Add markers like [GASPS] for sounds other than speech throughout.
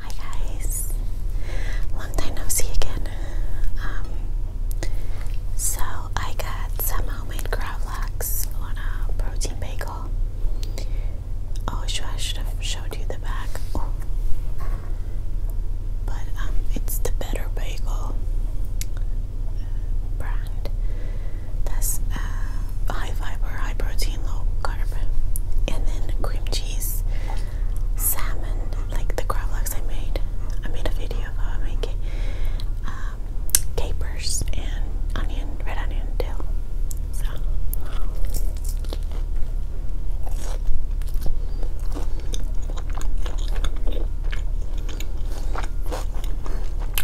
Hi guys, long time no see again. Um, so I got some homemade gravlax on a protein bagel. Oh, I should have showed you the back. But um, it's the Better Bagel brand. That's uh, high fiber, high protein, low carb. And then cream cheese, salmon, like the gravlax I made. I made a video of how I make it. Um, capers and onion, red onion, dill. So.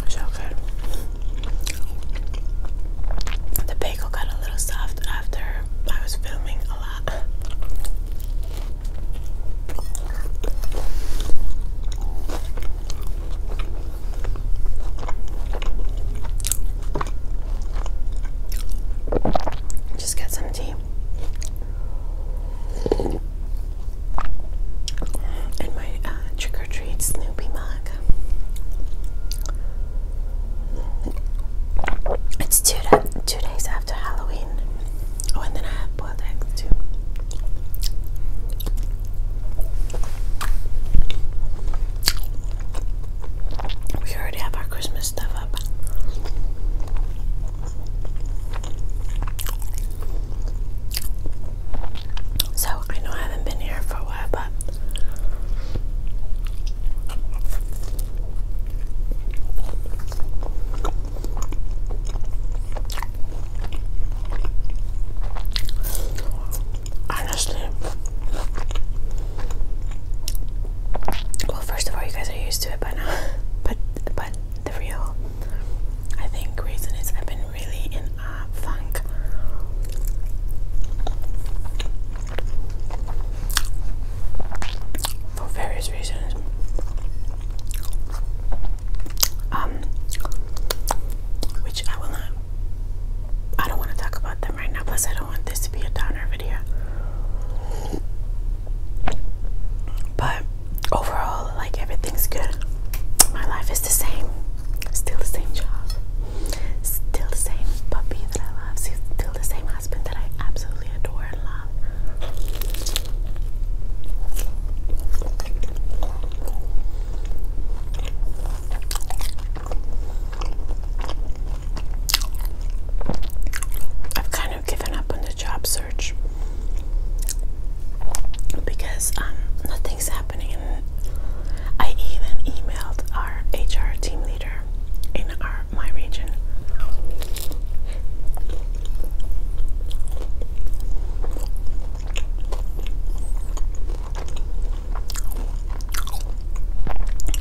So good. The bagel got a little soft after I was filming a lot. Just get some tea. And my uh, trick or treat it's two, two days after Halloween. Oh, and then I have boiled eggs too. We already have our Christmas stuff up. So I know I haven't been here for a while, but honestly, well, first of all, you guys are used to it by now, [LAUGHS] but but the real, I think, reason is I've been really in a funk. For various reasons. Um which I will not I don't want to talk about them right now, plus I don't want this to be a downer video. But overall, like everything's good my life is the same. Still the same job. Still the same puppy that I love. Still the same husband that I absolutely adore and love. I've kind of given up on the job search because um, nothing's happening I even emailed our HR team leader in our my region.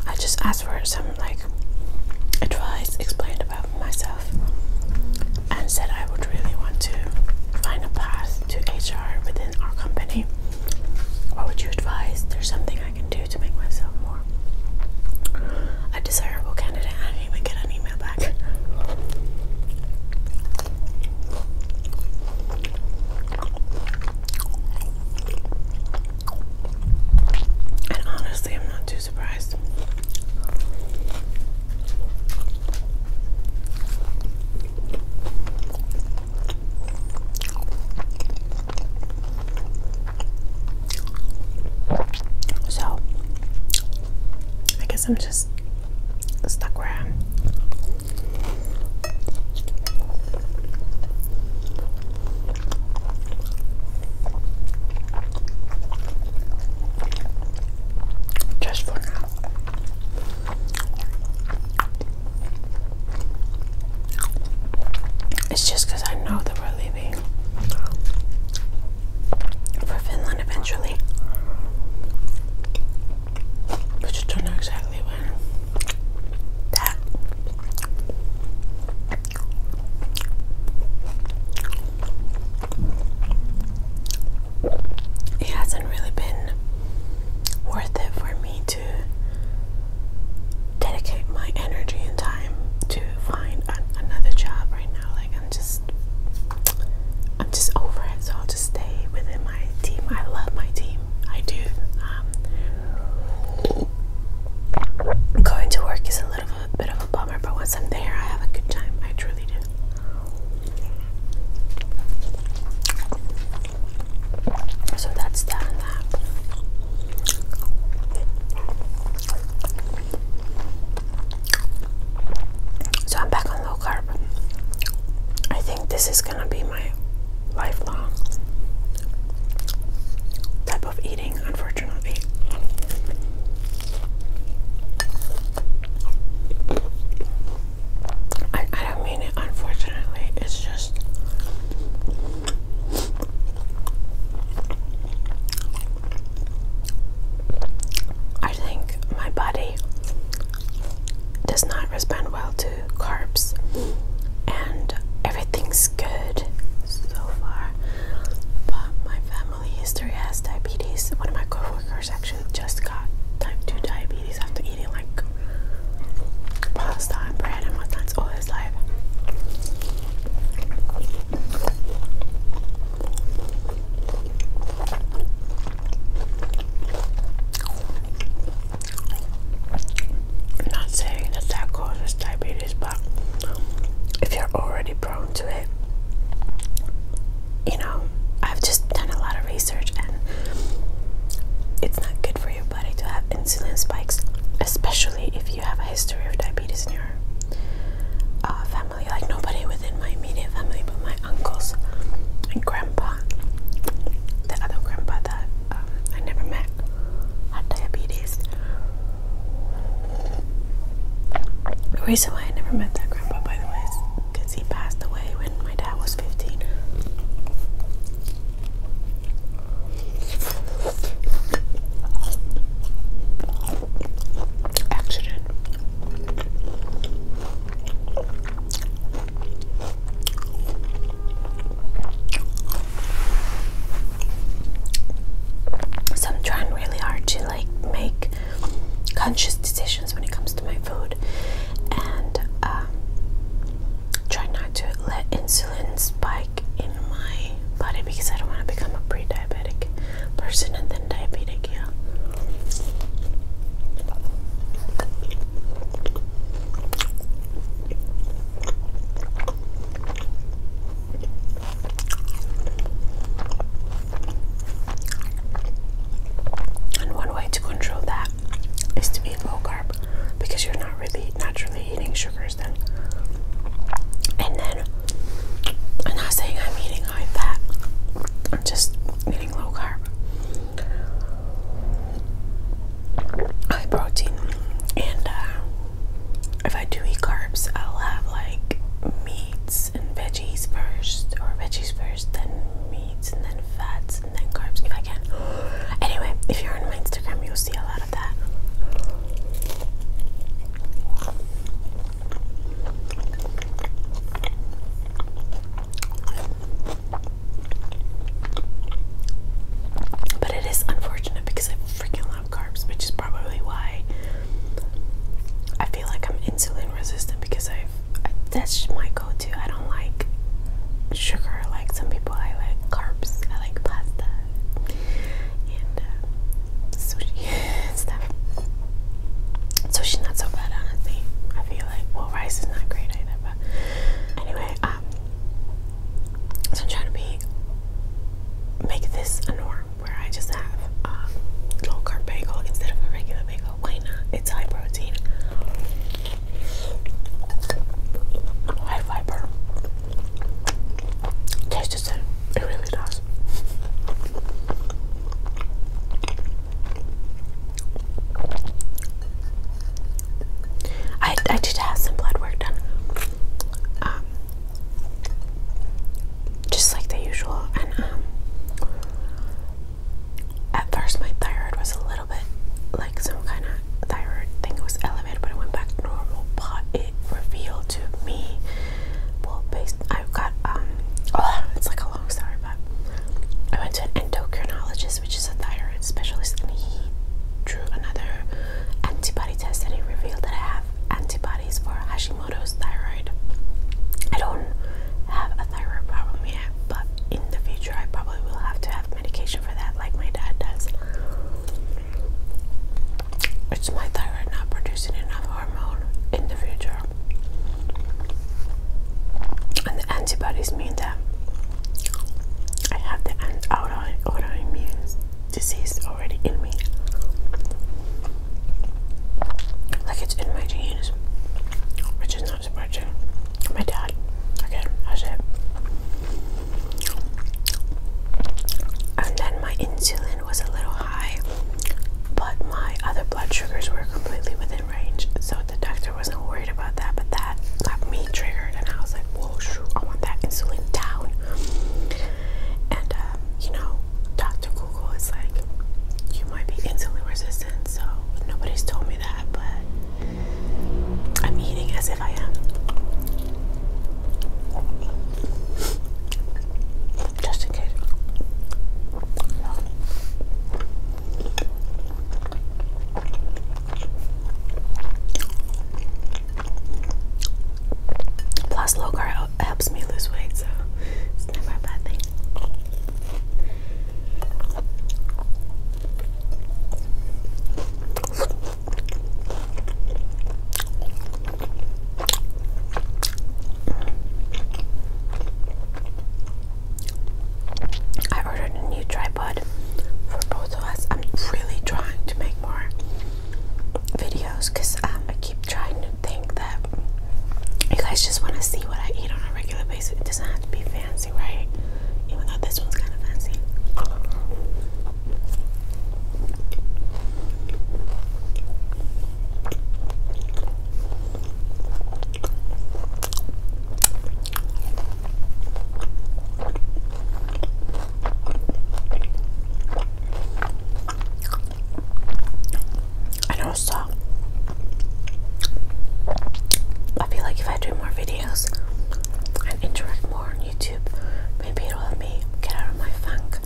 I just asked for some like advice, explained about myself, and said I would really want to find a path to HR within our company, what would you advise? There's something I can do to make myself more a desirable candidate. I didn't even get an email back. And honestly, I'm not too surprised. So, I guess I'm just stuck where I am. Just for now. It's just because I know that we're leaving for Finland eventually. We just don't know exactly when it hasn't really been worth it for me to dedicate my energy and time to find another job right now. Like I'm just I'm just over it, so I'll just stay within my team. I love my team. I do. Um, going to work is a little bit of a bummer, but once I'm there, I have a good time. I truly do. So that's that and that. So I'm back on low carb. I think this is gonna be my lifelong type of eating, unfortunately. I, I don't mean it unfortunately, it's just I think my body does not respond well to carbs and everything's good so far. But my family history has diabetes. One of my coworkers Actually, just got type 2 diabetes after eating like pasta and bread and whatnot all his life. not saying that that causes diabetes, but if you're already prone to it, you know, I've just done a lot of research and it's not good for your body to have insulin spikes, especially if you have a history of diabetes in your uh, family. Like nobody within my immediate family, but my uncles and grandpa, the other grandpa that um, I never met, had diabetes. The reason why I never met that grandpa, by the way, is because he passed away when my dad was 15. Accident. So I'm trying really hard to like make conscious decisions when it comes to my food and um, try not to let insulin spike in my body because I don't want to become a pre diabetic person and then diabetic, yeah. And one way to control that is to be low carb because you're not really naturally eating sugars then. And then I'm not saying I'm eating high fat. I'm just eating low carb. High protein. And uh, if I do eat carbs, I'll have like meats and veggies first, or veggies first, then meats, and then fats, and then carbs if I can. [GASPS] Anyway, if you're on my Instagram, you'll see a lot of that. But it is unfortunate because I freaking love carbs, which is probably why I feel like I'm insulin resistant because i that's my go-to. I don't like sugar like some people. I like carbs. I like pasta and uh, sushi and [LAUGHS] stuff. Sushi's not so bad, honestly. I feel like well, rice is not great either. But anyway, um, so I'm trying to be make this a norm where I just have a um, little carb bagel instead of a regular bagel. It's high protein, high fiber. Tastes the It really does. I did have some blood work done. Um, just like the usual, um, at first my thyroid was a little bit like some kind of thyroid thing was elevated, but it went back normal. But it revealed to me, well, based I got um, it's like a long story, but I went to an endocrinologist, which is a thyroid specialist, and he drew another antibody test, and he revealed that I have antibodies for Hashimoto's thyroid. I don't have thyroid problem yet, but in the future I probably will have to have medication for that, like my dad does. It's my thyroid not producing enough hormone in the future. And the antibodies mean that I have the auto autoimmune disease already in me. Like it's in my genes, which is not surprising. My dad, again, has it. And then my insulin was a little high, but my other blood sugars were completely within range. So the doctor wasn't worried about that, but that got me triggered. And I was like, whoa, I want that insulin down. And, um, you know, Dr it's like you might be insulin resistant. So nobody's told me that, but I'm eating as if I am. Just in case. Plus, low carb helps me lose weight, so it's never a bad thing. I ordered a new tripod for both of us. I'm really trying to make more videos because um, I keep trying think that you guys just want to see what I eat on a regular basis. It doesn't have to be fancy, right? Even though this one's kind of fancy. I And also, I feel like if I do more videos and interact more on YouTube, maybe it'll help me get out of my funk.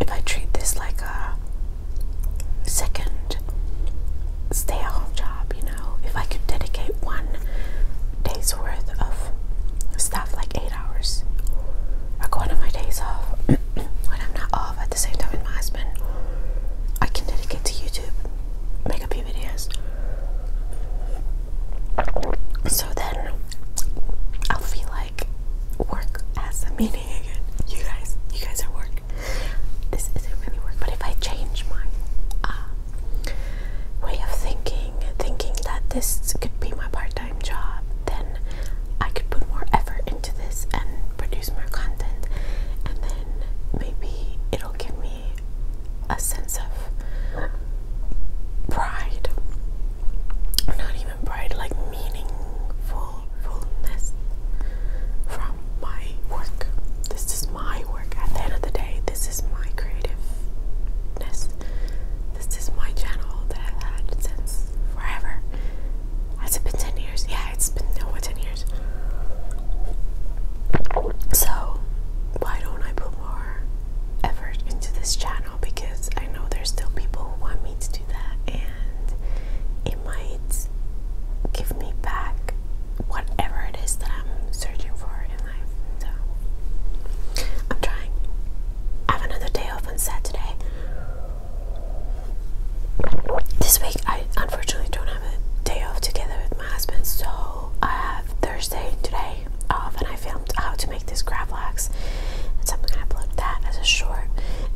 If I treat this like a second stay at home job, you know, if I could dedicate one day's worth of stuff like eight hours I go one my days off [CLEARS THROAT] when I'm not off at the same time with my husband. I can dedicate to YouTube, make a few videos. So then I'll feel like work has a meaning again. You guys, you guys are work. This isn't really work, but if I change my uh, way of thinking, thinking that this could be my part time job, then I could put more effort into this and produce more content, and then maybe it'll give me a sense of pride. Not even pride, like meaningfulness from my work. This is my work. At the end of the day, this is my creativeness. This is my channel that I've had since forever. Has it been 10 years? Yeah, it's been over 10 years. So, why don't I put more effort into this channel? Because I know there's still people who want me to do that, and it might give me back whatever it is that I'm searching for in life. So, I'm trying. I have another day off on Saturday. This week I unfortunately don't have a day off together with my husband, so I have Thursday and today off, and I filmed how to make this crab wax, and I'm gonna upload that as a short,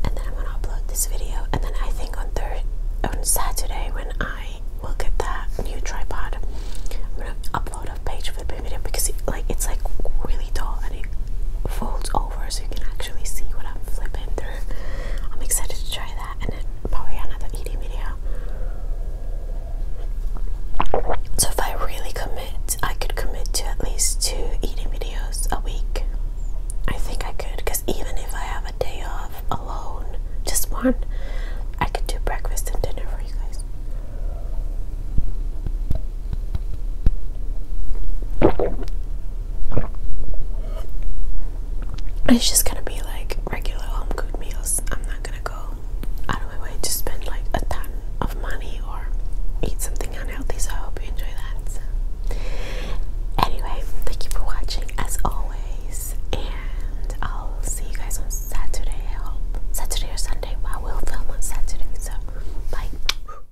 and then I'm gonna upload this video, and then I think on Thursday, on Saturday when I will get that new tripod, I'm gonna upload a page for the video because like it's like really tall and it folds all so you can actually see what I'm flipping through. I'm excited to try that and then probably another eating video. So if I really commit, I could commit to at least two eating videos a week. I think I could because even if I have a day off alone, just one, I could do breakfast and dinner for you guys. It's just gonna be like regular home cooked meals. I'm not gonna go out of my way to spend like a ton of money or eat something unhealthy. So I hope you enjoy that. Anyway, thank you for watching as always, and I'll see you guys on Saturday. I hope Saturday or Sunday. I will film on Saturday. So bye.